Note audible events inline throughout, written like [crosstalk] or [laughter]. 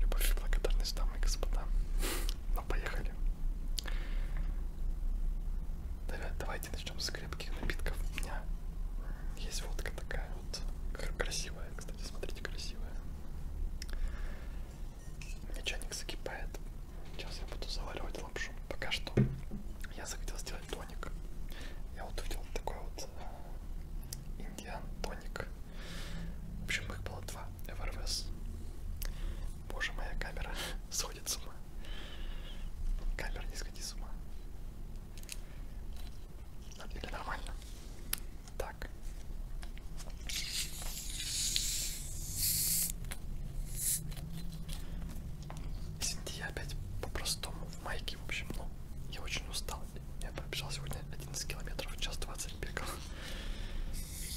Любовь и благодарность, дамы и господа. Ну, поехали. Давай, давайте начнем с крепких напитков. У меня есть водка такая вот красивая, кстати, смотрите, красивая. У меня чайник закипает. Сейчас я буду заваривать лапшу. Пока что я захотел сделать тоник. Я вот увидел такой вот э, Индиан Тоник. В общем, их было два. ФРВС. Боже, моя камера [laughs] сходит с ума. Камера не сходи с ума. Или нормально. Так. Синди опять по-простому в майке, в общем, ну, я очень устал. Я пробежал сегодня 11 километров, час 20 бегал.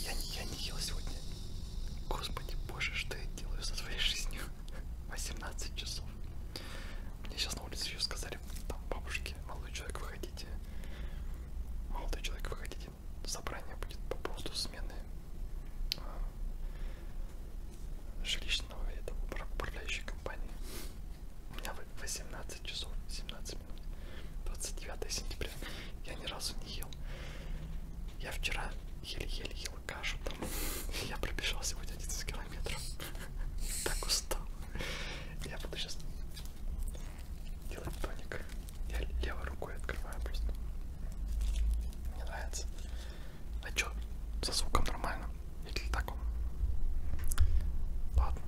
Я, я не ел сегодня. Господи боже, что я делаю со своей жизнью? 18 [laughs] часов. Мне сейчас на улице еще сказали, там бабушки, молодой человек, вы хотите? Молодой человек, вы хотите? Собрание будет по поводу смены а, жилищного этого управляющей компании. У меня в 18 часов 17 минут 29 сентября я ни разу не ел я вчера еле-еле ел кашу там я пробежал сегодня 11 километров так устал я буду сейчас делать тоник я левой рукой открываю просто мне нравится а чё со звуком нормально или так он ладно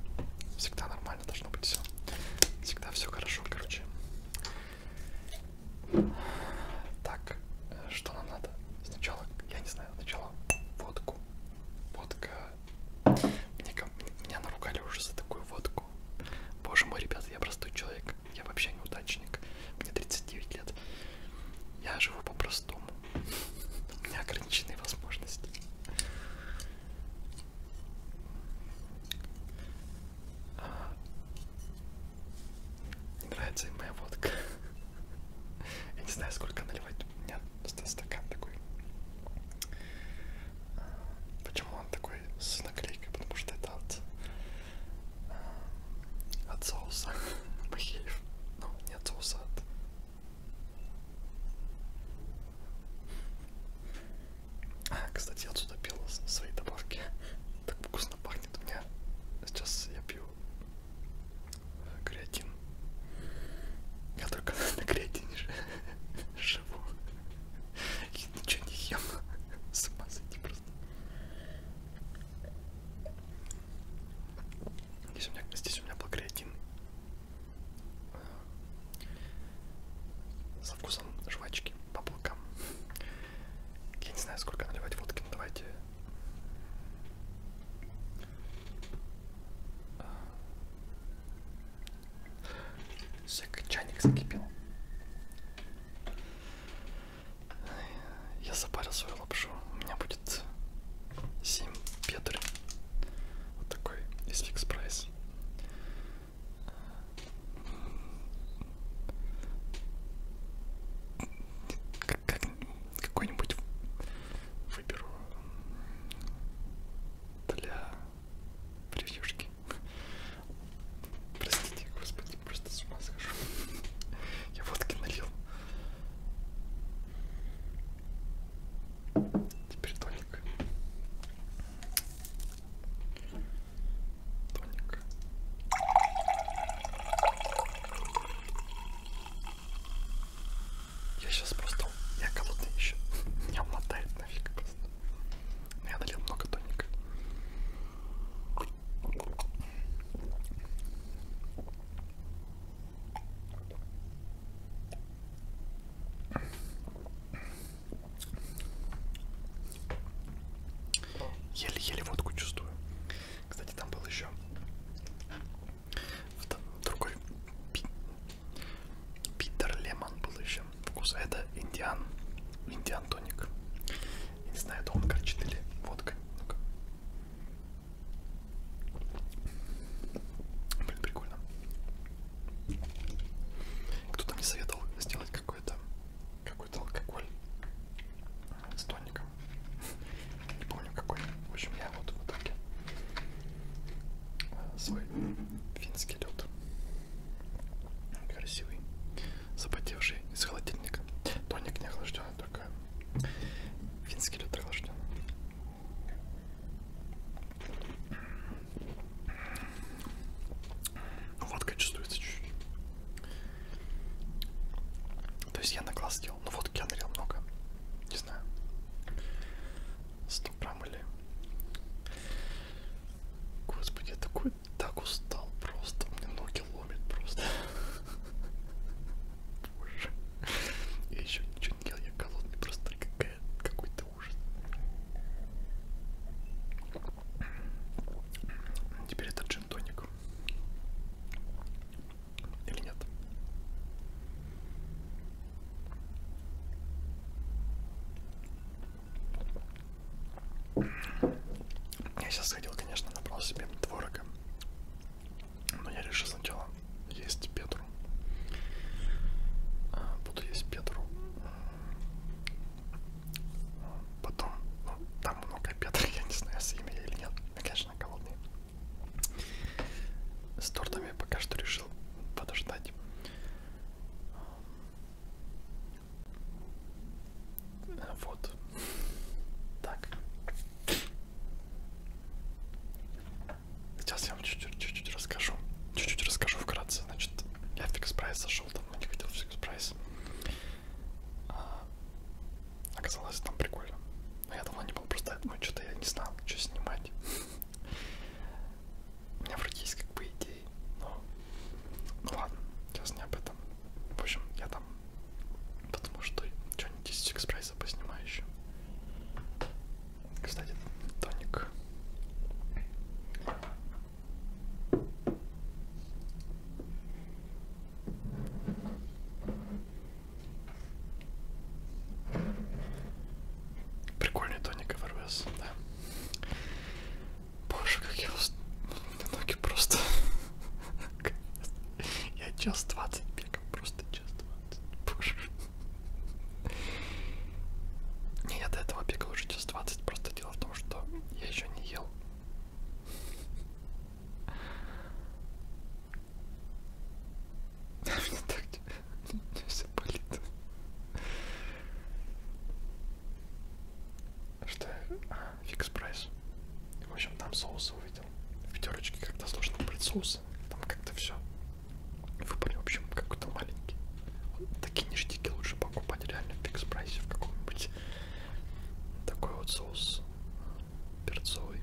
всегда нормально даже должно быть все. Всегда все хорошо, короче. Так, что нам надо? Сначала, я не знаю, сначала водку. Водка. Мне, меня наругали уже за такую водку. Боже мой, ребят, я простой человек. Я вообще неудачник. Мне 39 лет. Я живу по-простому. [laughs] У меня ограниченные возможности. А, не нравится им моя водка. Я не знаю, сколько наливать. У меня просто стакан такой. А, почему он такой с наклейкой? Потому что это от, а, от соуса [laughs] махеев. Ну, не от соуса, от А, кстати, я отсюда пил свои добавки. Так вкусно пахнет у меня. Сейчас я пью креатин. Я только [laughs] на креатине [laughs] живу. И ничего не ем. С ума сойти просто. Здесь у меня, здесь у меня был креатин со вкусом жвачки по облакам. Я не знаю, сколько наливать водки, но давайте Сек чайник закипел. Я запарил свою лапшу. У меня будет 7 петр. Вот такой из фикс прайс. Как, как, Какой-нибудь выберу для превьюшки. Простите, господи, просто с ума схожу. Я водки налил. Теперь тоник. Тоник. Я сейчас просто... Я голодный еще. [laughs] Меня мотает нафиг просто. Но я налил много тоника. Еле-еле водку чувствую. Кстати, там был еще другой пи... Питер Лемон был еще. Вкус это индиан. Индиан тоник. Я не знаю, это он горчит или водка. Ну-ка. Блин, прикольно. Кто-то мне советовал сделать какой-то какой-то алкоголь с тоником. Не помню какой. В общем, я вот в итоге э, свой финский лед. Красивый, запотевший из холодильника. Тоник не охлажденный, только финский лед охлажденный. Водка чувствуется чуть-чуть. То есть я на глаз сделал, но ну, водки я налил много. Не знаю. 100 грамм или... Господи, я такой так устал просто. Мне ноги ломит просто. [laughs] Боже. Я еще ничего ничего не ел, я голодный, просто какой-то ужас. Теперь это джин-тоник. Или нет? Я сейчас сходил, конечно, набрал себе творога, но я решил сначала есть петру. Петру. Буду а, есть Петру. Потом, ну, там много Петра, [laughs] я не знаю, с имя или нет. Я, конечно, голодный. С тортами я пока что решил подождать. Эм, вот. Так. Сейчас я вам чуть-чуть расскажу. Чуть-чуть расскажу вкратце. Значит, я фикс прайс зашел, давно не хотел фикс прайс. А, оказалось там прикольно. Но я давно не был просто этому, ну, что-то я не знал, что снимать. У меня вроде есть как бы идеи, но... Ну ладно, сейчас не об этом. В общем, я там... Потому что что-нибудь из фикс прайса поснимаю еще. Кстати, тоник. Прикольный тоник ФРВС, да. Боже, как я устал. Ноги просто... [laughs] Я час двадцать бегал, просто час двадцать. Боже. Я до этого бегал уже час 20, просто дело в том, что я еще не ел. А мне так все болит. Что? А, фикс прайс. В общем, там соусы увидел. В пятерочке как-то сложно брать соусы. Там как-то все вы поняли, в общем, какой-то маленький. Вот такие ништяки лучше покупать реально в фикс прайсе в каком-нибудь. Такой вот соус перцовый.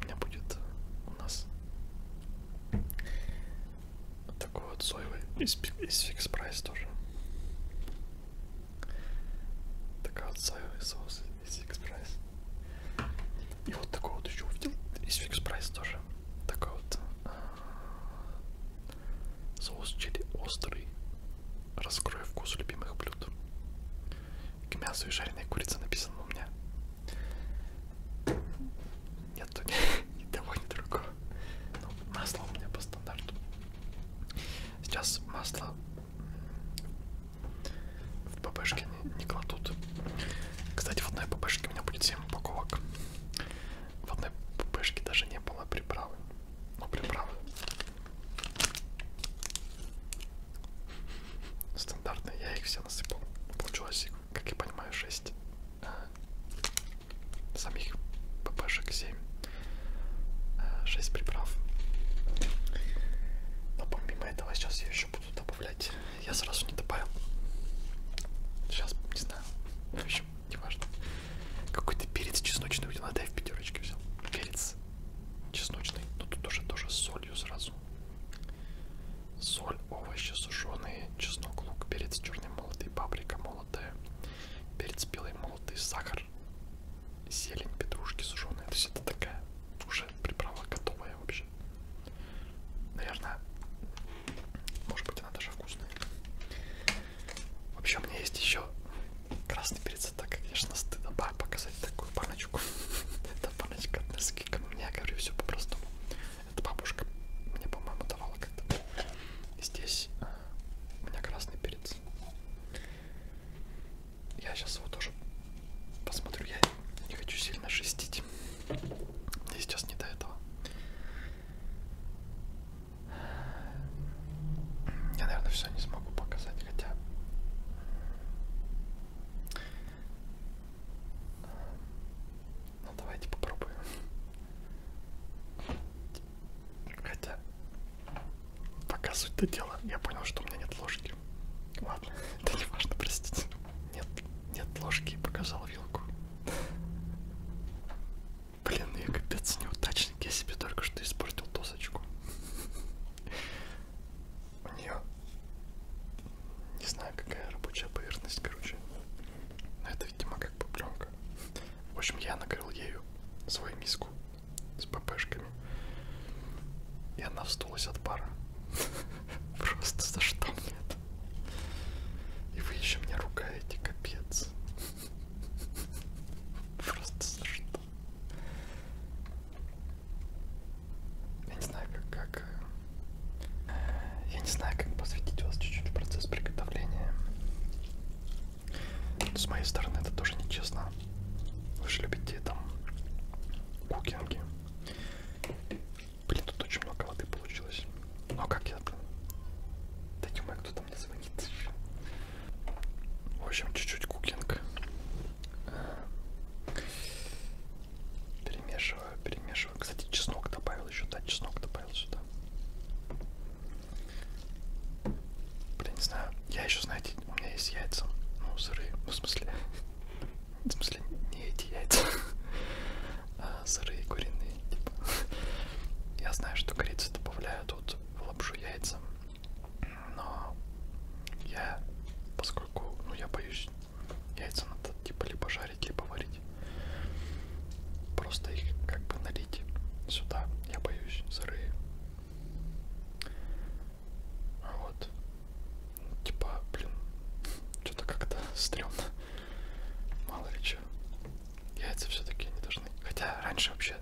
У меня будет у нас такой вот соевый из, из фикс прайс тоже. Такой вот соевый соус из фикс прайс. И вот такой вот еще увидел из фикс прайс тоже. Такой вот а, Соус чили острый. Раскрой вкус любимых блюд. К мясу и жареной курице написано у меня. Нет, тут ни того, [laughs] ни другого. Ну, масло у меня по стандарту. Сейчас масло в ППшке не, не кладут. Кстати, в одной ППшке у меня будет 7 упаковок. В одной ппшке даже не было приправы. Ну, приправы. Стандартные, я их все насыпал. Получилось, как я понимаю, 6. А, самих ППшек 7. 6 приправ. Но помимо этого сейчас я еще буду добавлять я сразу не добавил. Сейчас, не знаю. В общем, не важно. Какой-то перец чесночный у да, я в пятерочке взял. Перец чесночный. Но ну, тут тоже тоже с солью сразу. Соль, овощи сушеные, чеснок, лук, перец черный молотый, паприка молотая, перец белый молотый, сахар, зелень, петрушки сушеные. То есть это такая уже приправа готовая вообще. Наверное, может быть, она даже вкусная. Вообще, у меня есть еще красный перец. Это, конечно, стыдно показать такую баночку. [laughs] Это баночка от Несквика. Но я говорю все по-простому. Это бабушка мне, по-моему, давала как-то. И здесь а, у меня красный перец. Я сейчас его тоже посмотрю. Я не хочу сильно шестить. И сейчас не до этого. Я, наверное, все не смогу показать, хотя... Ну, давайте попробуем. Хотя, пока суть-то дела, я понял, что у меня нет ложки. Ладно, [laughs] это не важно, простите. Нет, нет ложки, показал вилку. Блин, я капец неудачник, я себе только что испортил досочку. У нее не знаю какая рабочая поверхность, короче. Но это, видимо, как бы пленка. В общем, я накрыл ею свою миску с ППшками. И она вздулась от пара. [laughs] Просто за что мне и вы еще меня ругаете, капец. [laughs] Просто за что? Я не знаю, как, как... Э, я не знаю, как посвятить вас чуть-чуть в процесс приготовления. Но с моей стороны это тоже нечестно. Вы же любите там кукинги. Блин, тут очень много воды получилось. Но как я там? Да тьма, кто-то мне звонит. В общем, чуть-чуть кукинг. Перемешиваю, перемешиваю. Кстати, чеснок добавил еще, да, чеснок добавил сюда. Блин, не знаю. Я еще, знаете, у меня есть яйца. Ну, сырые. Ну, в смысле. [laughs] В смысле, не эти яйца. [laughs] А сырые куриные типа. Я знаю, что корицу добавляют вот в лапшу яйца, но я, поскольку, ну, я боюсь, яйца надо типа либо жарить, либо варить. Просто их как бы налить сюда, я боюсь, сырые. Вот. Типа, блин, что-то как-то стрёмно. Мало ли что. Яйца все-таки не должны. Хотя раньше вообще...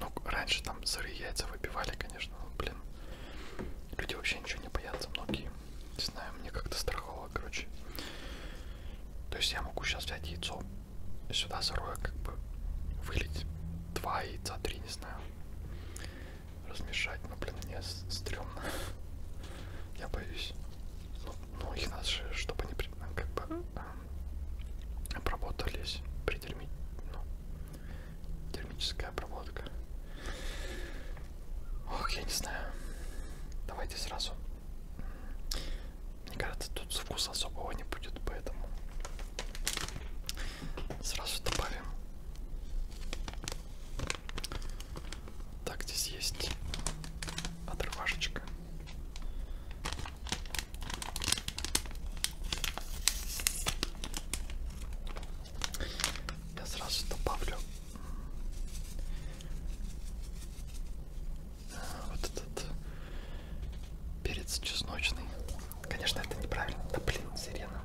Ну, раньше там сырые яйца выпивали, конечно. Но, блин, люди вообще ничего не боятся, многие. Не знаю, мне как-то страхово, короче. То есть я могу сейчас взять яйцо и сюда сырое как бы вылить. Два яйца, три, не знаю. Размешать, но, ну, блин, мне стрёмно. [laughs] Я боюсь. Ну, их надо же, чтобы они ну, как бы эм, обработались при терми... ну, термическая обработка. Ох, я не знаю. Давайте сразу. Мне кажется, тут вкуса особого не будет, поэтому сразу добавим так, здесь есть отрывашечка. Я сразу добавлю вот этот перец чесночный. Конечно, это неправильно. Да блин, сирена.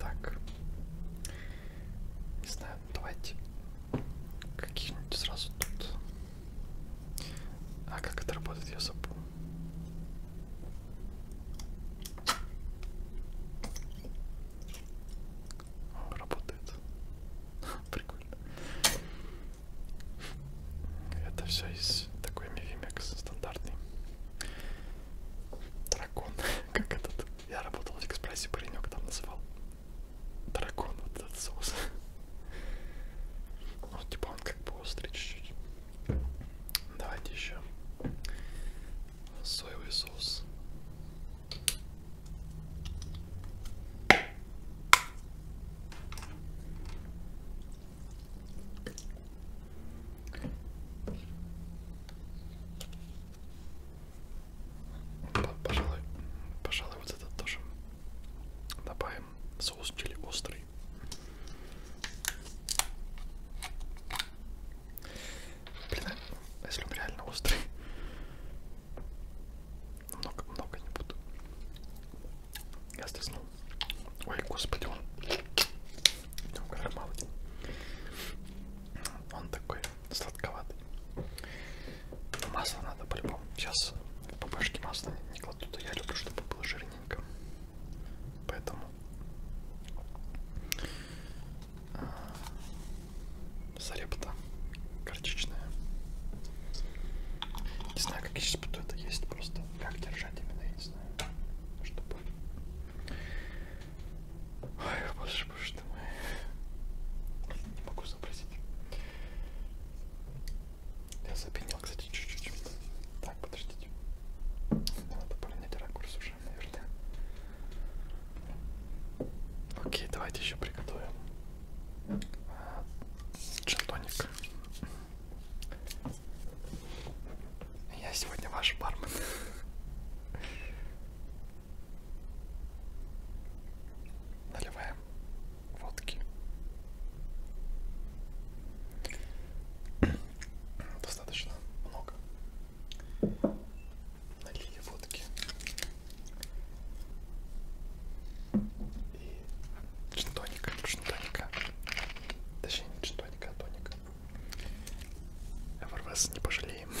Так. Не знаю, давайте каких-нибудь сразу тут. А как это работает, я забыл. О, работает. [laughs] Прикольно. Это все из такой мивимекс стандартный. Дракон, [laughs] как этот. Я работал в Экспрессе, паренек там называл дракон вот этот соус. [laughs] Ну, типа он как бы острый чуть-чуть. Давайте еще соевый соус. Пожалуй, пожалуй, вот этот тоже добавим. Соус чили острый. Блин, а если он реально острый, много-много не буду. Я стреснул. Ой, господи, он. Там мало. Он такой сладковатый. Но масло надо по-любому. Сейчас по башке масла не, не кладу, то а я люблю, чтобы было жирненько. Поэтому а, зарепта горчичная. Не знаю, как я сейчас буду это есть, просто как держать именно, я не знаю, чтобы... Ой, боже дальше, потому что мы... не могу запросить. Я запенил, кстати, чуть-чуть. Так, подождите. Надо поменять ракурс уже, наверное. Окей, давайте еще приготовим джентоник. Я сегодня ваш бармен. Наливаем водки. [clears throat] Достаточно много. Налили водки. И джинтоника, джинтоника. Точнее, не джинтоника, а тоника. ФРВС не пожалеем. [laughs]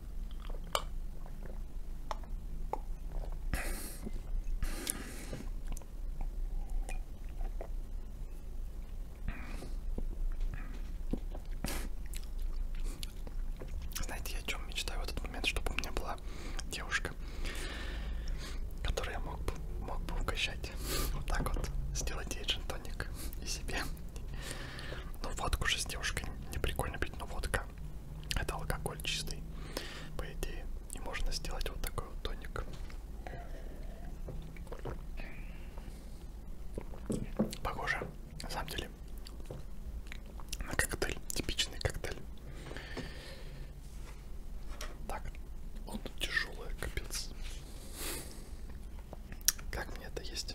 Знаете, я о чем мечтаю в этот момент, чтобы у меня была девушка, которую я мог бы, мог бы угощать. Вот так вот сделать ей джин-тоник и себе. Но ну, водку же с девушкой не прикольно пить, но водка это алкоголь чистый, по идее. И можно сделать вот такой вот тоник. Похоже, на самом деле, на коктейль, типичный коктейль. Так, он тяжелый, капец. Как мне это есть?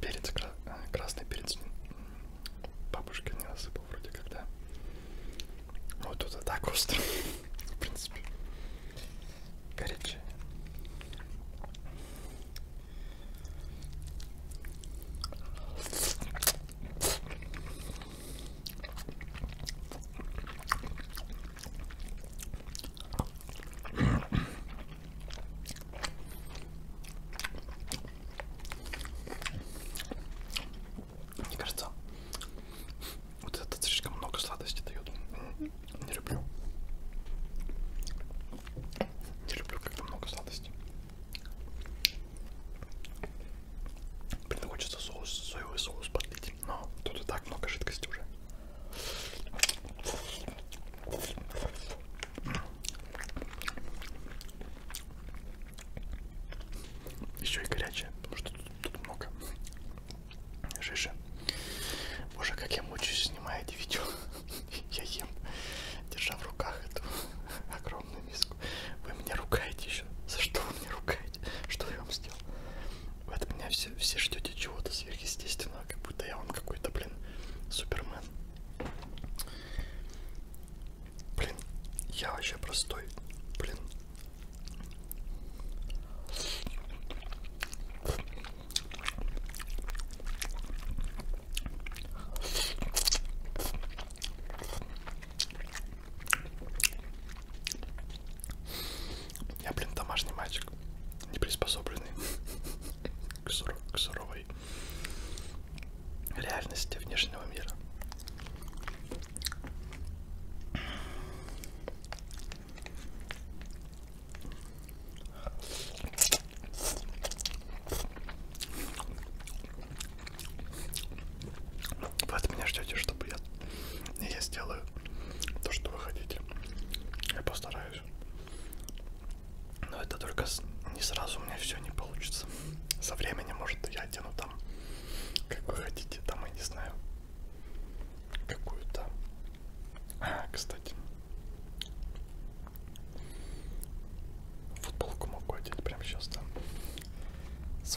Перец, красный перец бабушка не рассыпал вроде когда. Ну вот тут и так остро, [laughs] в принципе. Горячее. Мне кажется, вот это слишком много сладости дает. Не люблю. Не люблю, когда много сладости. Блин, хочется соус, соевый соус подлить, но тут и так много жидкости уже. Еще и горячая, потому что тут, тут много жижи. Боже, как я мучаюсь, снимая эти видео. [laughs] Я ем, держа в руках эту [laughs] огромную миску подписку. Вы меня ругаете еще. За что вы меня ругаете? Что я вам сделал? Вы от меня все, все ждете чего-то сверхъестественного, как будто я вам какой-то, блин, супермен. Блин, я вообще простой. Блин. Я, блин, домашний мальчик, не приспособленный [laughs] к, сур к суровой реальности внешнего мира. Вы от меня ждете, чтобы я... Я сделаю то, что вы хотите. Я постараюсь. Но это только не сразу у меня все не получится. Со временем, может, я одену там, как вы хотите, там, я не знаю, какую-то... А, кстати. Футболку могу одеть прямо сейчас, да? С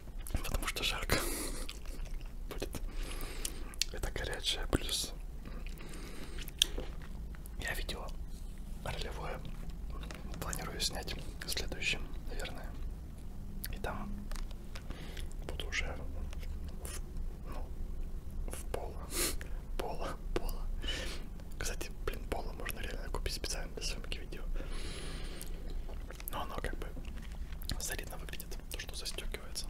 потому что жарко будет. Это горячая плюс. Я видео ролевое планирую снять следующим, наверное. И там буду уже в, ну, в поло. Пола, [laughs] пола. Кстати, блин, пола можно реально купить специально для съемки видео. Но оно как бы солидно выглядит, то что застегивается.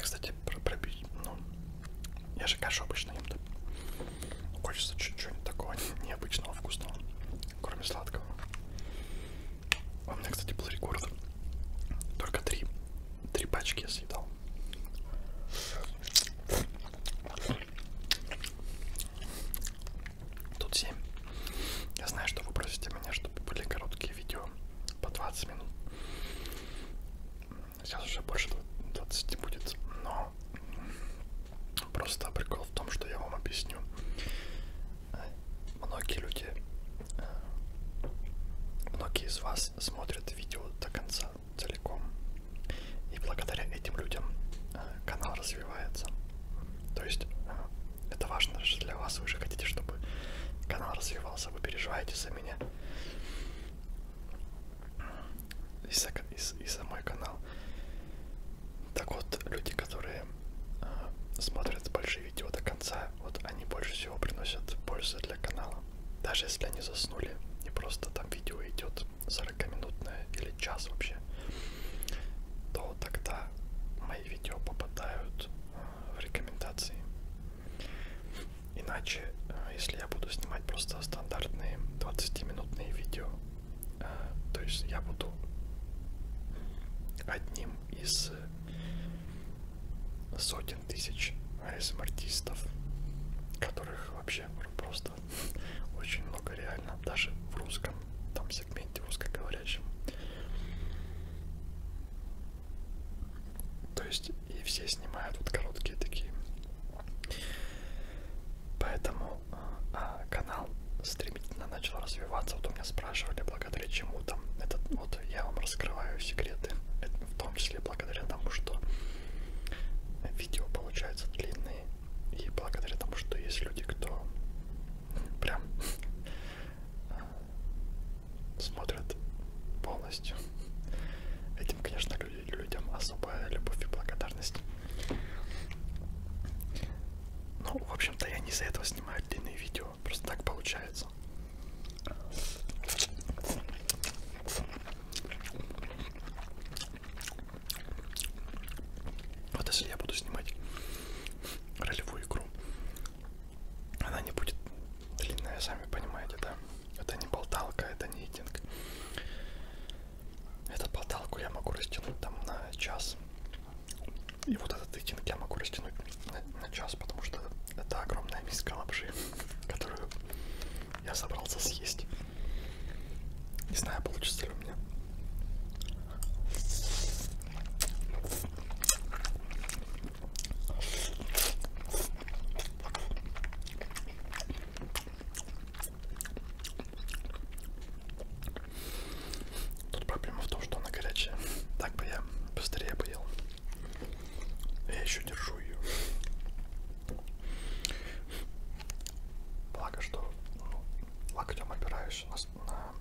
Кстати, про пробить, ну, я же кашу обычно ем, да? Хочется чуть-чуть такого необычного, вкусного, кроме сладкого. А у меня, кстати, был рекорд. Только три. Три пачки я съедал. Тут 7. Я знаю, что вы просите меня, чтобы были короткие видео по 20 минут. Сейчас уже больше 20 будет, но просто прикол в том, что я вам объясню. Многие люди, э, многие из вас смотрят видео до конца целиком. И благодаря этим людям э, канал развивается. То есть э, это важно же для вас. Вы же хотите, чтобы канал развивался. Вы переживаете за меня. И за, и, и за мой канал. Так вот, люди, которые э, смотрят большие видео до конца, вот они больше всего приносят пользу для канала. Даже если они заснули, не просто там видео идет 40-минутное или час вообще то тогда мои видео попадают э, в рекомендации. Иначе, э, если я буду снимать просто стандартные 20-минутные видео, э, то есть я буду одним из сотен тысяч АСМ-артистов, которых вообще просто [laughs] очень много реально, даже в русском, там сегменте узкоговорящем. То есть и все снимают вот короткие такие. Поэтому а, канал стремительно начал развиваться. Вот у меня спрашивали, благодаря чему там этот вот я вам раскрываю секреты, Это в том числе благодаря тому, что видео получаются длинные и благодаря тому, что есть люди, кто прям [laughs] а, смотрят полностью. Этим, конечно, людям особая любовь и благодарность. Ну, в общем-то, я не из-за этого снимаю длинные видео. Просто так получается. Вот если я буду снимать ролевую игру она не будет длинная, сами понимаете, да? Это не болталка, это не единг. Эту болталку я могу растянуть там на час. И вот этот итинг я могу растянуть на, на час, потому что это огромная миска лапши, [laughs] которую я собрался съесть. Не знаю, получится ли у меня. Тут проблема в том, что она горячая. Так бы я быстрее поел. Я еще держу ее. Благо, что ну, локтем опираешься на, на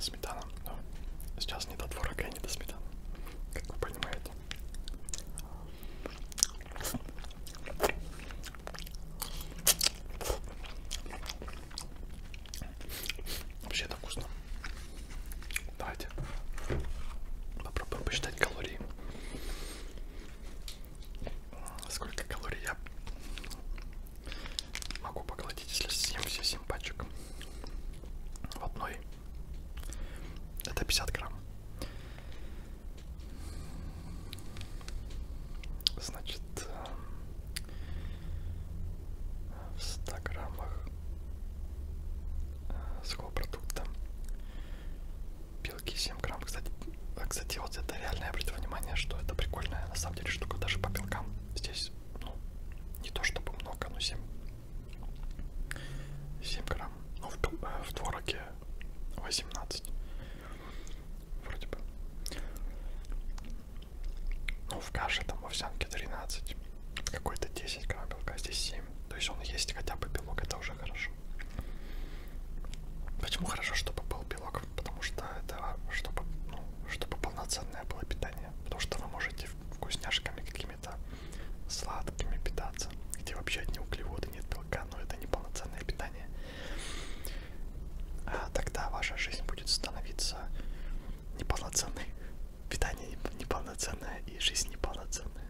сметана, но сейчас не до творога и не до сметаны, как вы понимаете. Вообще это вкусно. Давайте попробуем посчитать калории. Сколько калорий я Могу поглотить, если съем все 7 пачек в одной. Это 50 грамм. Значит, э, в 100 граммах э, сухого белки 7 грамм. Кстати, э, кстати, вот это реально я обратил внимание, что это прикольная на самом деле штука даже по белкам. Здесь ну, не то чтобы много, но 7, 7 грамм, но ну, в, э, в твороге 18, вроде бы. Ну, в каше там овсянке 13, какой-то 10 грамм белка, а здесь 7. То есть он есть хотя бы белок, это уже хорошо. Почему хорошо, чтобы был белок? Потому что это а, чтобы ну, чтобы полноценное было питание. Потому что вы можете вкусняшками какими-то сладкими питаться, где вообще одни углеводы, нет белка, но это не полноценное питание. А тогда ваша жизнь будет становиться неполноценной. [laughs] Питание неполноценное и жизнь неполноценная.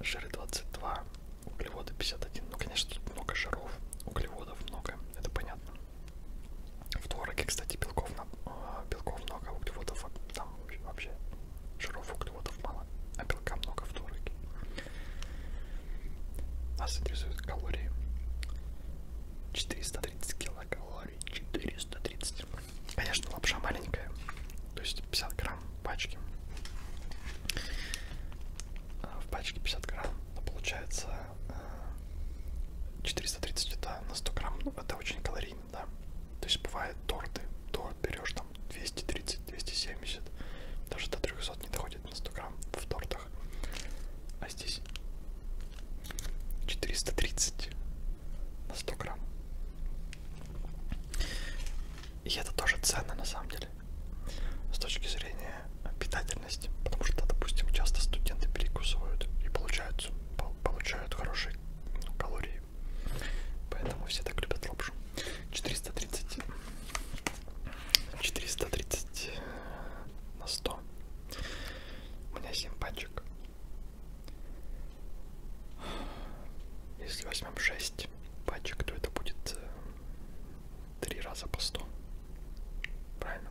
Жиры 22, углеводы 51. Ну, конечно, тут много жиров, углеводов много, это понятно. В твороге, кстати, белков, на... А, белков много, углеводов там вообще жиров, углеводов мало, а белка много в твороге. Нас интересуют калории. 430 килокалорий, 430. Конечно, лапша маленькая, то есть 50 грамм пачки. А, в пачке 50 грамм, но получается 430 это на 100 грамм, ну, это очень калорийно, да. То есть бывают торты, торт берешь там 230-270, даже до 300 не доходит на 100 грамм в тортах. А здесь 430 на 100 грамм. И это тоже ценно на самом деле. С точки зрения питательность, потому что, допустим, часто студенты перекусывают и получают, получают хорошие ну, калории, поэтому все так любят лапшу. 430, 430 на 100, у меня 7 пачек. Если возьмем 6 пачек, то это будет 3 э, раза по 100. Правильно?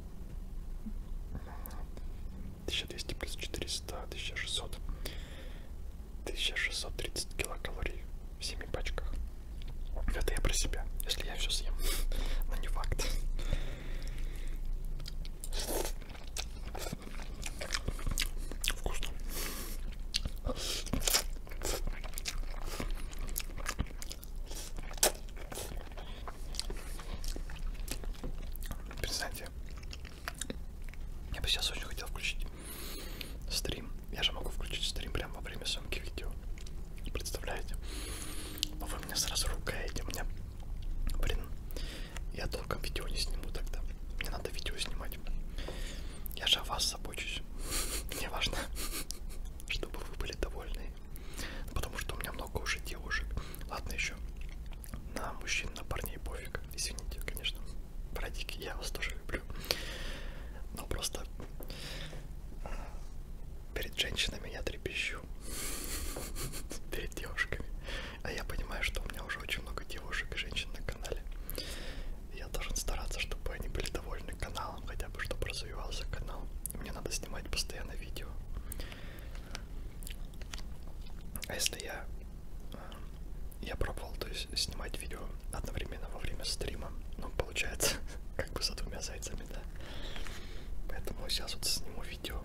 1200 плюс 400, 1600. 1630 килокалорий в 7 пачках. Это я про себя, если я все съем. Но не факт. Вкусно. Перестаньте. Я бы сейчас очень хотел включить стрим. Я же могу включить стрим прямо во время съемки видео. Представляете? Но вы меня сразу ругаете. Мне, блин, я толком видео не сниму тогда. Мне надо видео снимать. Я же о вас забочусь. [laughs] Мне важно, [laughs] чтобы вы были довольны Потому что у меня много уже девушек. Ладно еще. На мужчин, на парней пофиг. Извините, конечно. Братики, я вас тоже люблю. Но просто э, перед женщинами я трепещу. [laughs] Перед девушками. А я понимаю, что у меня уже очень много девушек и женщин на канале. Я должен стараться, чтобы они были довольны каналом, хотя бы чтобы развивался канал. Мне надо снимать постоянно видео. А если я... Э, я пробовал, то есть, снимать видео одновременно во время стрима. Ну, получается, [laughs] как бы за двумя зайцами, да. Поэтому сейчас вот сниму видео.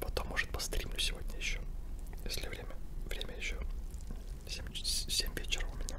Потом, может, постримлю сегодня еще. Если время. Время еще. 7, 7 вечера у меня.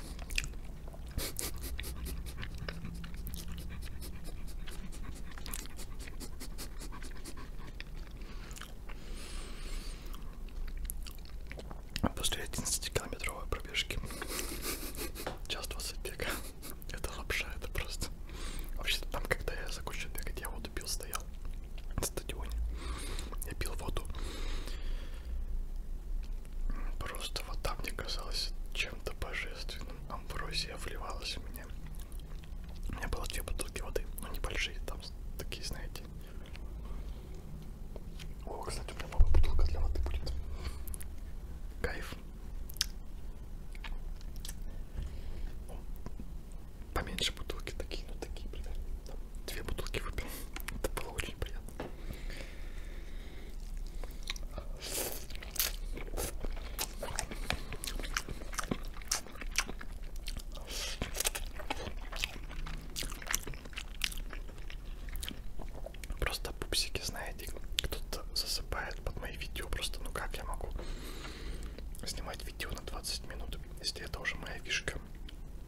После 11-километровой пробежки час 20 бега. Это лапша, это просто. Вообще-то там, когда я закончил бегать, я вот убил, стоял на стадионе. Я пил воду. Просто вода мне казалась чем-то божественным. Амброзия вливалась в меня. У меня было две бутылки воды, но небольшие, там такие, знаете. О, кстати, у меня новая бутылка для воды будет. Кайф. Поменьше бутылки такие, ну такие, блядь. Там Две бутылки выпил. Это было очень приятно. Просто пупсики, знаете, кто-то засыпает под мои видео. Просто ну как я могу снимать видео на 20 минут, если это уже моя фишка.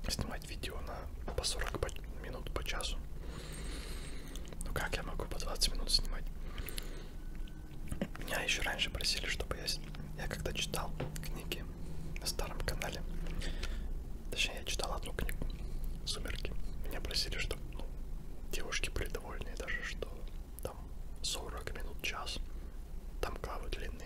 Снимать снимать видео на по 40 по, минут по часу. Ну как я могу по 20 минут снимать? Меня еще раньше просили, чтобы я, я когда читал книги на старом канале, точнее я читал одну книгу «Сумерки», меня просили, чтобы ну, девушки были довольны даже, что там 40 минут, час, там главы длинные.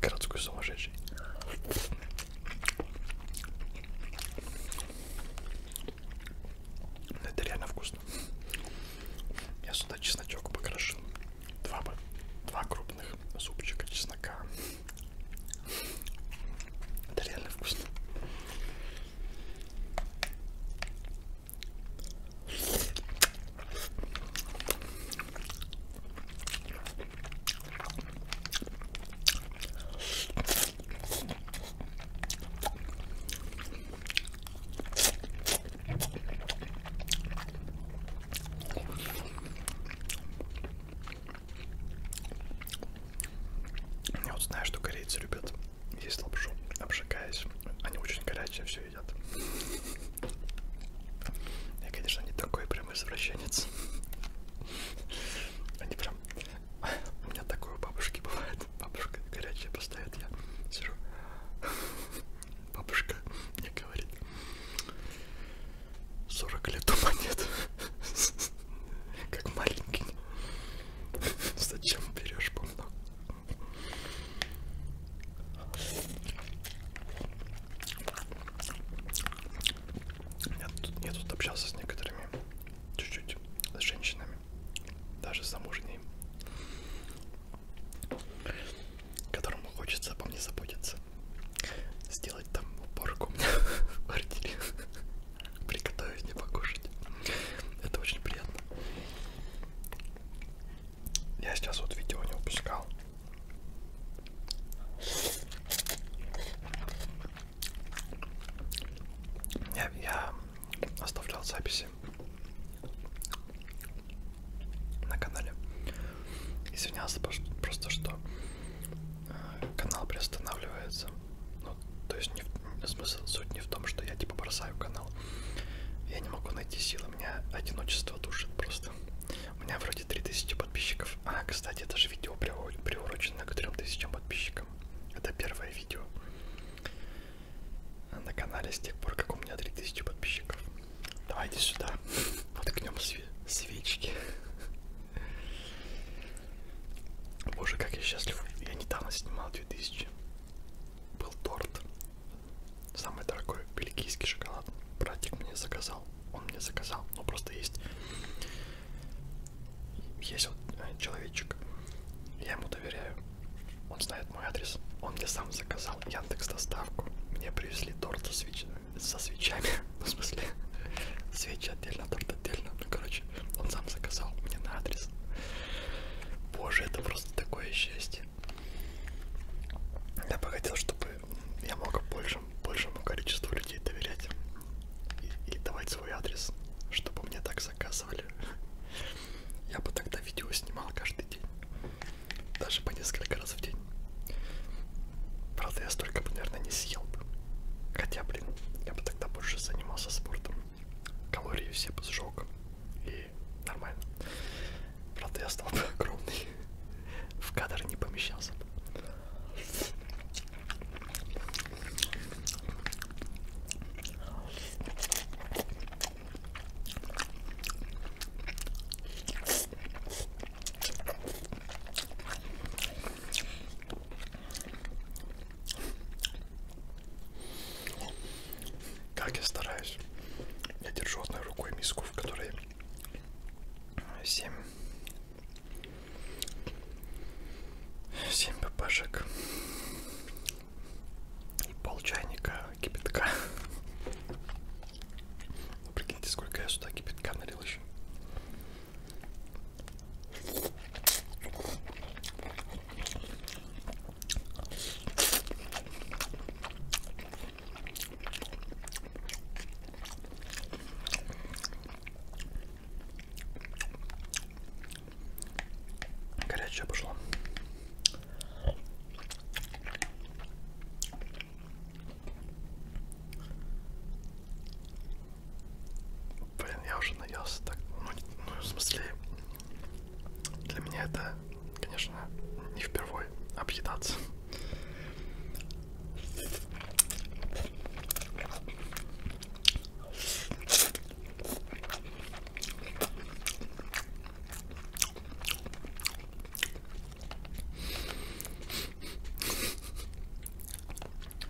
Городской сумасшедший. Ну, это реально вкусно. Я сюда чесночок покрошил. Два, два крупных зубчика чеснока. Это реально вкусно. Я вот знаю, что корейцы любят есть лапшу, обжигаясь. Они очень горячие все едят. Я, конечно, не такой прям извращенец. Они прям... У меня такое у бабушки бывает. Бабушка горячая поставит, я сижу. Бабушка мне говорит. 40 лет у монет. Как маленький. Зачем берешь по много? Я тут, я тут общался с некоторыми чуть-чуть с женщинами, даже с замужней, которым хочется обо мне заботиться, сделать там уборку [laughs] в квартире, приготовить мне покушать. Это очень приятно. Я сейчас вот видео не упускал. Я, я оставлял записи на канале. Извинялся просто, что э, канал приостанавливается. Ну, то есть не в, смысл суть не в том, что я типа бросаю канал. Я не могу найти силы, меня одиночество душит просто. У меня вроде 3000 подписчиков. А, кстати, это же видео приурочено к 3000 подписчикам. Это первое видео на канале с тех пор, как у меня 3000 подписчиков. Давайте сюда [laughs] воткнем све свечки. Боже, как я счастлив. Я недавно снимал 2000. Был торт Самый дорогой бельгийский шоколад. Братик мне заказал. Он мне заказал. Ну просто есть. Есть вот э, человечек. Я ему доверяю. Он знает мой адрес. Он мне сам заказал Яндекс доставку. Мне привезли торт со, свеч... со свечами. [laughs] В смысле, свечи отдельно, торт отдельно. Ну короче, он сам заказал мне на адрес. Боже, это просто такое счастье. Я бы хотел, чтобы я мог большему, большему количеству людей доверять и, и давать свой адрес, чтобы мне так заказывали. Я бы тогда видео снимал каждый день, даже по несколько раз в день. Правда, я столько бы, наверное, не съел бы. Хотя, блин, я бы тогда больше занимался спортом. Калории все бы сжег. И нормально. Правда, я стал бы [laughs] огромный. В кадр не помещался бы. Как я стараюсь, я держу одной рукой миску, в которой семь семь папашек и пол чайника кипятка ну, прикиньте сколько я сюда кипятка налил еще Горячая пошла. Блин, я уже наелся так. Ну, ну в смысле, для меня это конечно, не впервой объедаться.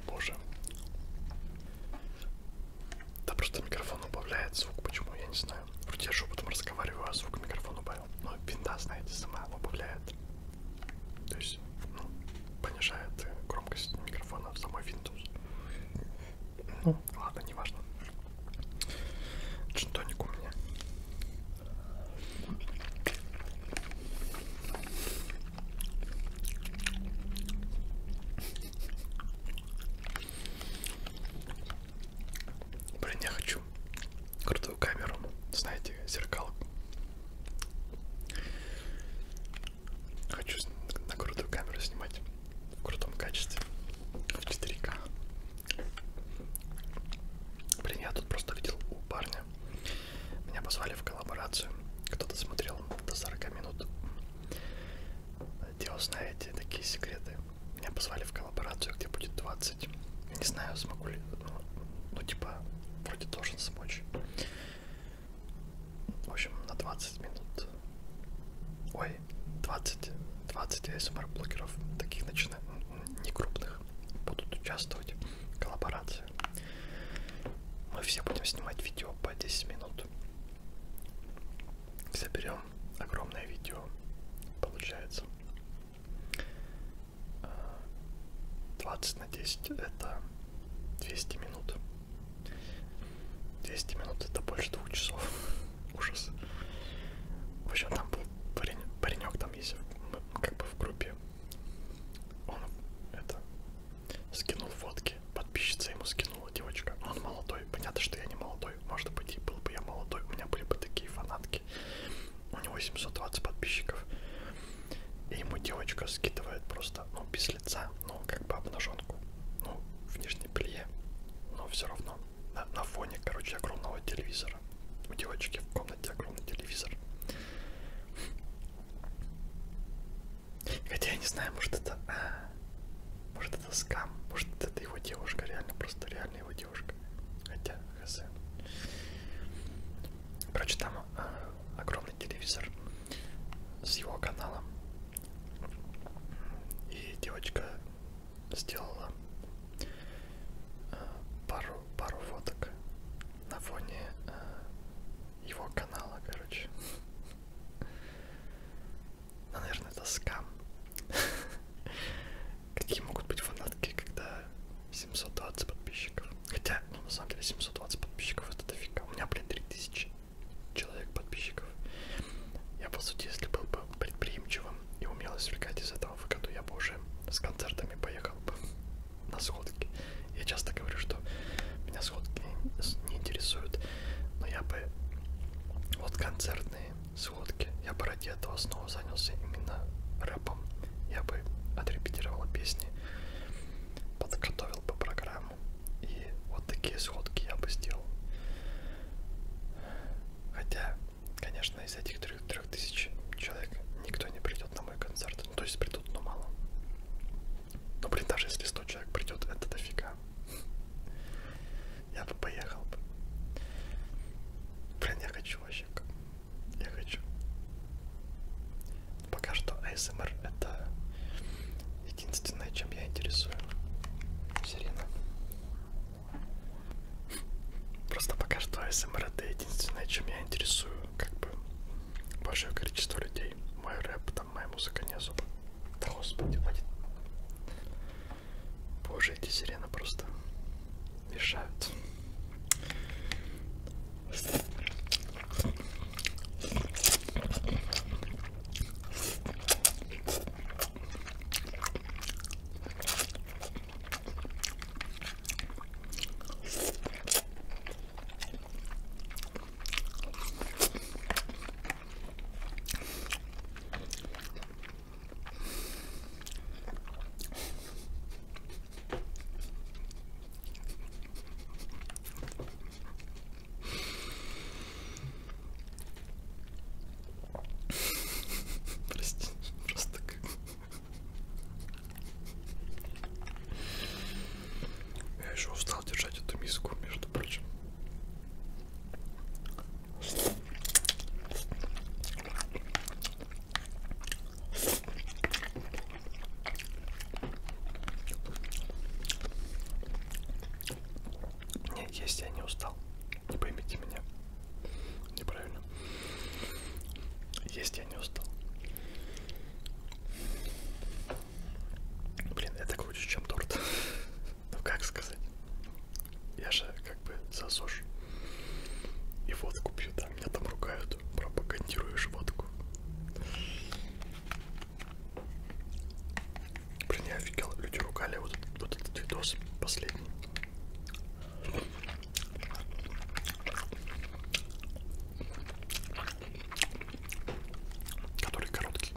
Боже. Да просто микрофон убавляет звук, почему я не знаю. Вроде я шепотом разговариваю, а звук микрофона убавляет покупаю. Но ну, винда, знаете, сама убавляет. То есть, ну, понижает громкость микрофона в самой Windows. Ну, ладно, не важно. Джинтоник у меня. Блин, я хочу хочу крутую камеру, знаете, зеркал. Хочу на крутую камеру снимать в крутом качестве, в 4К. Блин, я тут просто видел у парня. Меня позвали в коллаборацию. Кто-то смотрел до 40 минут. Делал, знаете, такие секреты. Меня позвали в коллаборацию, где будет 20. Я не знаю, смогу ли, ну, ну типа, вроде должен смочь. В общем, на 20 минут. Ой, 20, 20 ASMR-блогеров, таких начинаю, не крупных, будут участвовать в коллаборации. Мы все будем снимать видео по 10 минут. Заберем огромное видео, получается. 20 на 10 это 200 минут. 200 минут это больше двух часов. [laughs] Ужас. В общем, там был парень, паренек, там есть мы как бы в группе. Он это скинул фотки. Подписчица ему скинула девочка. Он молодой. Понятно, что я не молодой. Может быть, и был бы я молодой. У меня были бы такие фанатки Америке. У него 720 подписчиков. И ему девочка скидывает просто, ну, без лица, ну, как бы обнаженку. Ну, в нижней белье. Но все равно. На, на фоне, короче, огромного телевизора. У девочки в комнате огромный телевизор. Хотя я не знаю, может это... А, может это скам, может это его девушка, реально, просто реально его девушка. Хотя, хз. Короче, там э, огромный телевизор с его каналом. И девочка сделала э, пару, пару фоток на фоне э, его канала, короче. [laughs] Ну, наверное, это скам. [laughs] Какие могут быть фанатки, когда 720 подписчиков? Хотя, ну на самом деле 720 подписчиков это дофига. У меня, блин, 3000 человек подписчиков. Я, по сути, если был бы предприимчивым и умел извлекать из этого выгоду, я бы уже с концертами поехал бы на сходки. Я часто говорю, что меня сходки не интересуют, но я бы вот концертные сводки. Я бы ради этого снова занялся именно рэпом. Я бы отрепетировал песни, подготовил бы программу. И вот такие сводки я бы сделал. Хотя, конечно, из этих трех, трех тысяч человек никто не придет на мой концерт. Ну, то есть придут, но мало. Но, ну, блин, даже если 100 человек придет, это дофига. Я бы поехал бы. Блин, я хочу вообще я хочу. Пока что ASMR это единственное, чем я интересую. Сирена. Просто пока что ASMR это единственное, чем я интересую, как бы, большое количество людей. Мой рэп, там моя музыка не особо. Да господи, хватит. Боже, эти сирены просто мешают. Прости, просто как... Я еще устал держать эту миску, между прочим. Нет, есть я не устал. Не поймите меня. Неправильно. Есть я не устал. Блин, это круче, чем торт. [laughs] ну как сказать? Я же как бы засушу. И водку пью, да, меня там ругают, пропагандируешь водку. Блин, я офигел, люди ругали вот, вот этот видос последний. Который короткий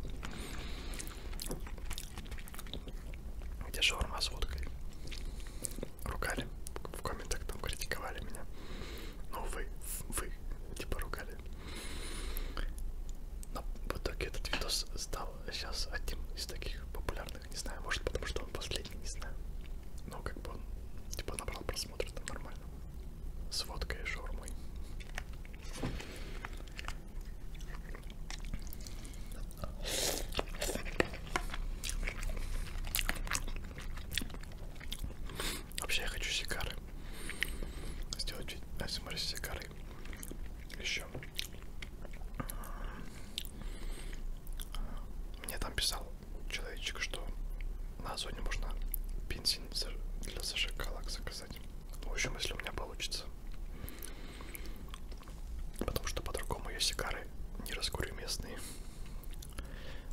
где шаурма с водкой. Ругали. В комментах там критиковали меня. Ну вы, вы, типа ругали. Но в итоге этот видос стал сейчас одним из таких популярных, не знаю, может потому что он последний, не знаю. Но как бы он типа набрал просмотры там нормально. С водкой и шаурмой. Вообще я хочу сигары. Сделать асмр с сигарой. Еще. Мне там писал человечек, что на Озоне можно бензин для зажигалок заказать. В общем, если у меня получится. Потому что по-другому ее сигары не раскурю местные.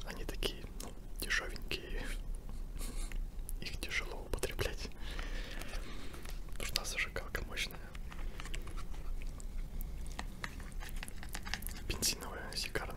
Они такие, ну, дешевенькие. Их тяжело употреблять. Нужна зажигалка мощная. Бензиновая, сигарная.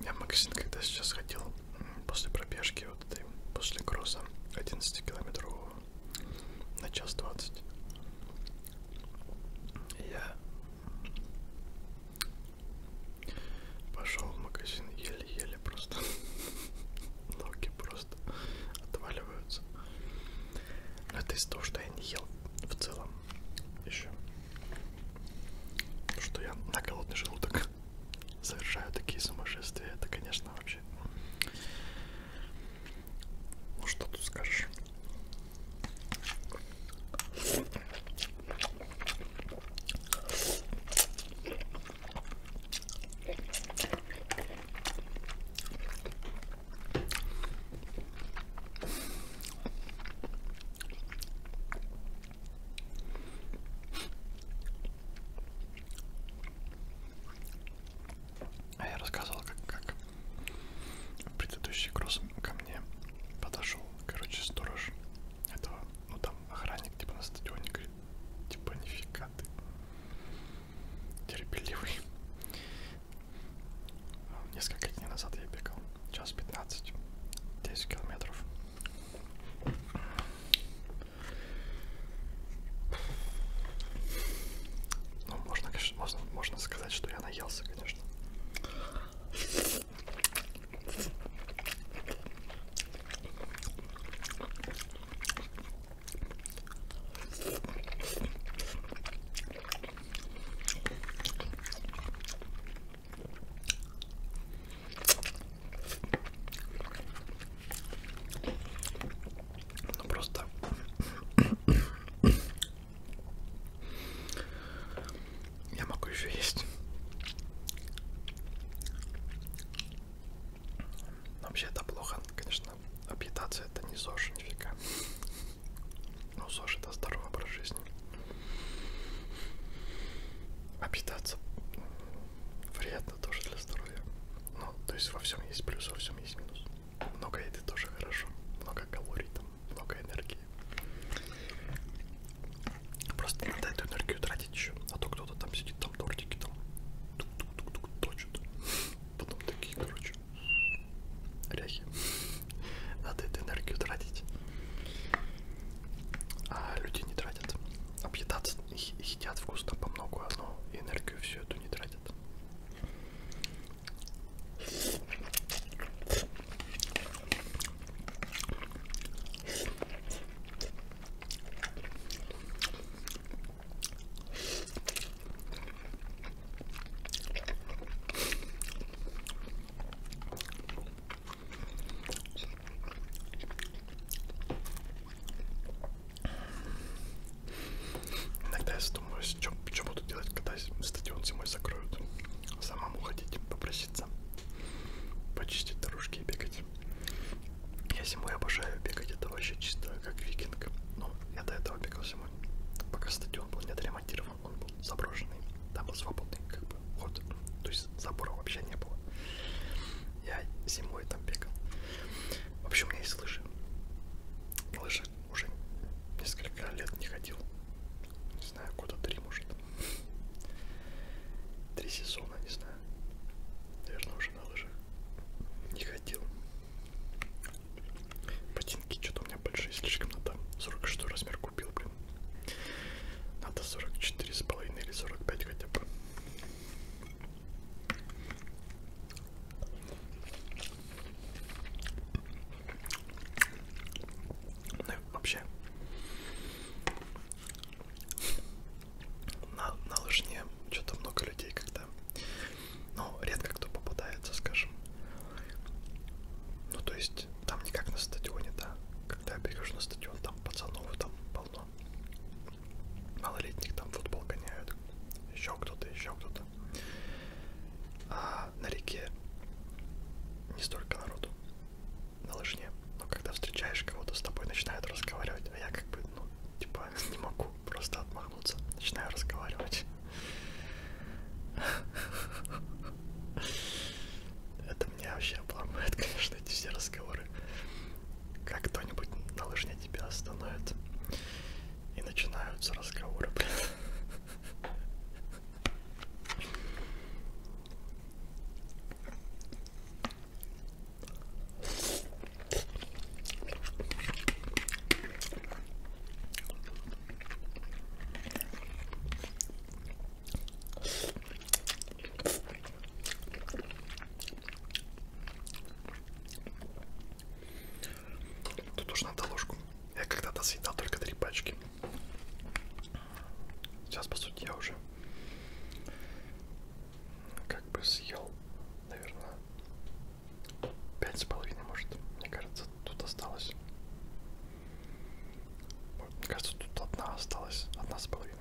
Я в магазин, когда сейчас ходил после пробежки, вот этой, после кросса 11 километров на час 20, я пошел в магазин еле-еле просто. [laughs] Ноги просто отваливаются. Но это из-за того, что я не ел в целом еще. Что я на голодный желудок [laughs] совершаю такие сумасшествия, это, конечно, вообще. Ну что тут скажешь? А я рассказывал, как, как предыдущий груз ко мне подошел, короче, сторож этого, ну там охранник типа на стадионе говорит, типа нифига ты терпеливый. Несколько дней назад я бегал, час 15, 10 километров. Ну, можно, конечно, можно, можно сказать, что я наелся, конечно. Ну, просто я могу еще есть. Вообще это плохо, конечно, объедаться это не ЗОЖ, нифига. Ну, ЗОЖ это здоровый образ жизни. А питаться вредно тоже для здоровья. Ну, то есть во всем есть плюс, во всем есть минус. Много еды тоже хорошо, много калорий там, много энергии. Просто надо эту энергию тратить еще, а то кто-то там сидит, там тортики там тук-тук-тук-тук точит. Потом такие, короче, ряхи. Надо эту энергию тратить а люди не тратят. Объедаться, едят вкусно по много, но энергию всю эту не тратят. Иногда я задумываюсь, что буду делать, когда стадион зимой закроют. Самому ходить, попроситься, почистить дорожки и бегать. Я зимой обожаю бегать, это вообще чисто как викинг. Но я до этого бегал зимой, пока стадион был не отремонтирован, он был заброшенный. Там был свободный как бы ход. То есть забора вообще не было. Я зимой там бегал. Вообще у меня есть лыжи. Лыжи уже несколько лет не ходил. Не знаю, года три, может. Три сезона, не знаю. Наверное, уже на лыжах не ходил. Ботинки что-то у меня большие слишком надо. 46 размер купил, блин. Надо 44 с половиной или 45 хотя бы. Ну вообще на, на лыжне что-то много людей когда но ну, редко кто попадается скажем ну то есть там не как на стадионе, да. Когда я прихожу на стадион, там пацанов там полно. Малолетних там футбол гоняют. Еще кто-то, еще кто-то. А на реке не столько народу. На лыжне. Но когда встречаешь кого-то, с тобой начинают разговаривать. А я как бы, ну, типа, не могу просто отмахнуться. Начинаю разговаривать. [laughs] Это меня вообще обломает, [laughs] конечно, эти все разговоры. Как кто-нибудь на лыжне тебя остановит. И начинаются разговоры, [laughs] блин. Тут уж надо ложку. Я когда-то съедал только три пачки. Сейчас, по сути, я уже как бы съел, наверное, пять с половиной, может. Мне кажется, тут осталось. Мне кажется, тут одна осталась, одна с половиной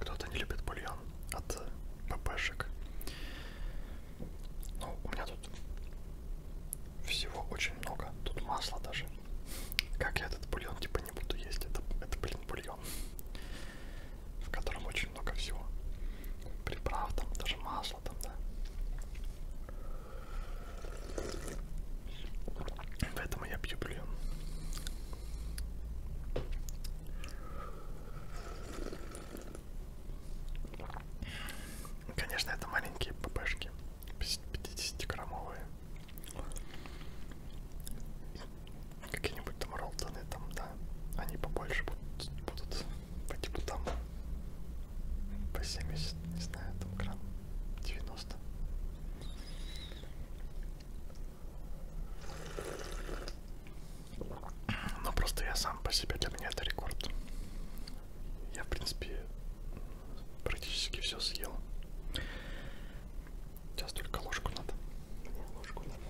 Кто-то не любит бульон от ППшек. Ну, у меня тут всего очень много. Тут масло даже. Как я этот бульон типа не буду есть. Это, это блин, бульон, в котором очень много всего. Приправ там, даже масло там, да. Поэтому я пью бульон. Конечно, это маленькие ППшки, 50-граммовые какие-нибудь там ролтоны там, да, они побольше будут, будут по типу там по 70, не знаю, там грамм 90. Но просто я сам по себе, для меня это рекорд. Я, в принципе, практически все съел. Сейчас только ложку надо. Мне ложку надо.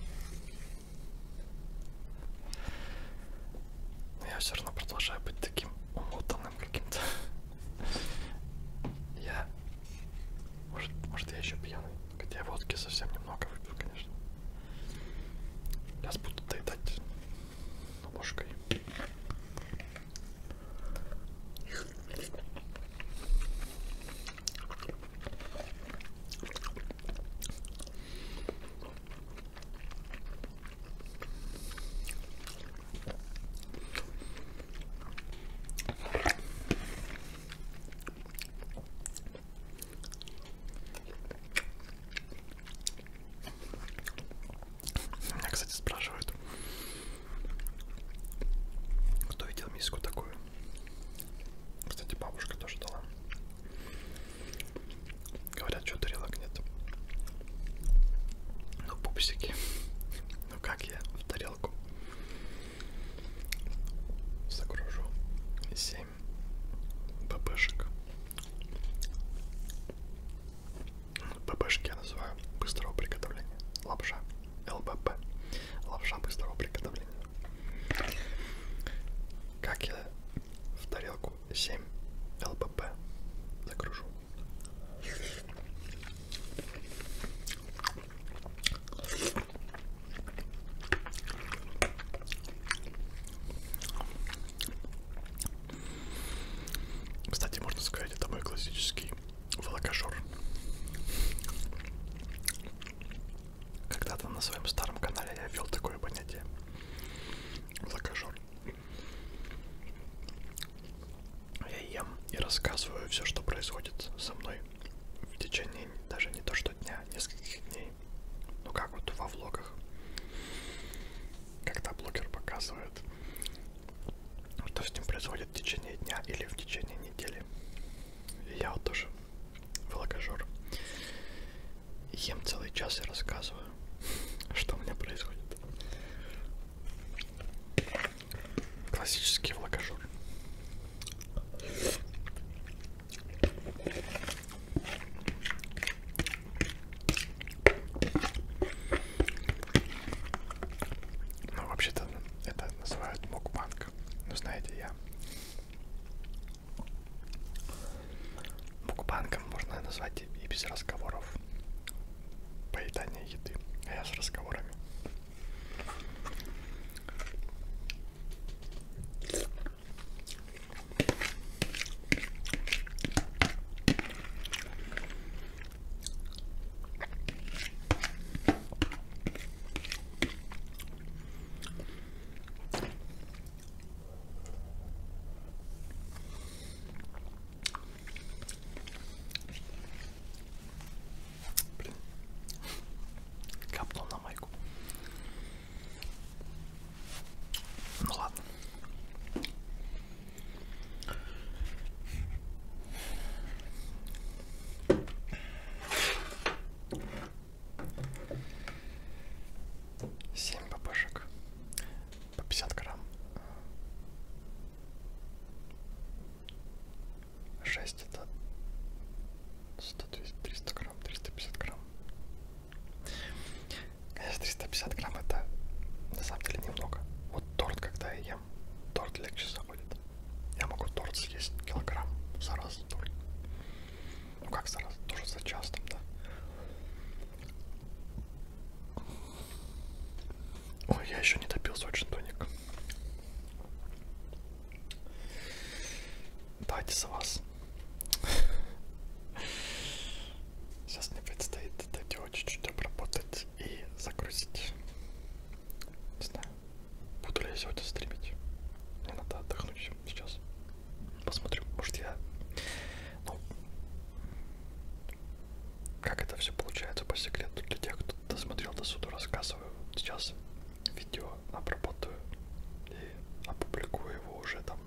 Но я все равно продолжаю быть таким умотанным каким-то. Я... Может, может я еще пьяный. Хотя водки совсем немного выпил, конечно. Сейчас буду доедать ложкой. Меня, кстати, спрашивают, кто видел миску такую. Кстати, бабушка тоже дала. Говорят, что тарелок нет. Ну, пупсики. Ну, как я в тарелку загружу 7 ББшек. ББшки я называю быстрого приготовления. Лапша. ЛБП, лапша быстрого приготовления. Как я в тарелку 7 ЛБП загружу. Кстати, можно сказать, это мой классический волокожор. Когда-то на своем старом канале я ввел такое понятие. Закажу. Я ем и рассказываю все, что происходит со мной в течение даже не то что дня, а нескольких дней. Ну как вот во влогах. Когда блогер показывает, что с ним происходит в течение дня или в течение недели. И я вот тоже волокожор. Ем целый час и рассказываю, [laughs] что у меня происходит. Классический волокожор. Ну, вообще-то это называют мукбанк. Ну, знаете, я букбанком можно назвать и без разговоров поедание еды, а я с разговорами. Блин. Капнул на майку. Ну ладно. 7 ППшек по 50 грамм. 6 это 100, 300 грамм, 350 грамм. Конечно, 350 грамм это на самом деле немного. Вот торт, когда я ем, торт легче заходит. Я могу торт съесть килограмм за раз только. Ну как за раз? Тоже за час там, да? Ой, я еще не допил сочный тоник. Дайте за вас. Сейчас мне предстоит это дело чуть-чуть обработать и загрузить. Не знаю. Буду ли я сегодня стримить? Мне надо отдохнуть сейчас. Посмотрим, может я... Ну, как это все получается по секрету для тех, кто досмотрел до суда, рассказываю. Сейчас видео обработаю и опубликую его уже там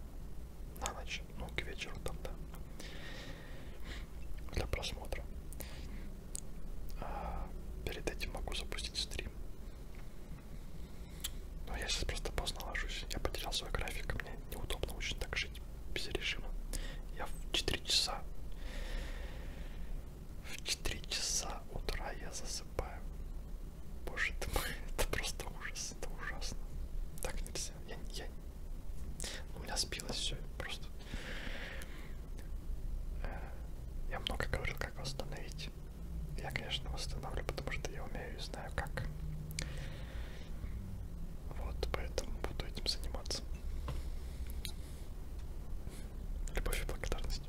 на ночь, ну к вечеру там, да, для просмотра. А перед этим могу запустить стрим но я сейчас просто поздно ложусь. Я потерял свой график, мне неудобно очень так жить без режима. Я в 4 часа. В 4 часа утра я засыпаю. Боже ты мой, [laughs] это просто ужас, это ужасно. Так нельзя. Я, я... Ну, у меня сбилось все просто. Э, я много говорил, как восстановить я, конечно, восстанавливаю, потому что я умею и знаю как. Вот, поэтому буду этим заниматься. Любовь и благодарность.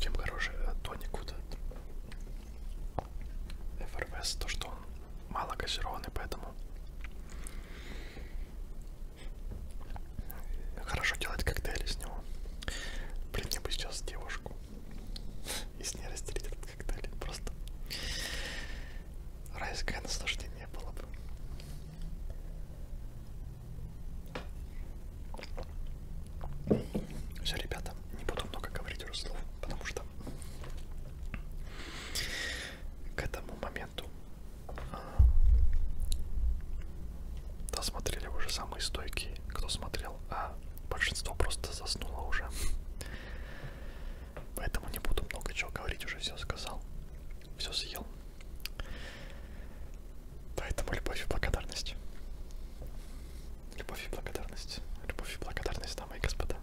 Чем хороший э, тоник вот этот Эвервест, то что он мало газированный, поэтому хорошо делать коктейли с него. Блин, мне бы сейчас девушку и с ней разделить этот коктейль. Просто райское наслаждение было бы. Все, ребята, не буду много говорить уже слов, потому что к этому моменту а, досмотрели уже самые стойкие, кто смотрел, а большинство просто заснуло уже. Поэтому не буду много чего говорить, уже все сказал, все съел. Поэтому любовь и благодарность. Любовь и благодарность. Любовь и благодарность, дамы и господа.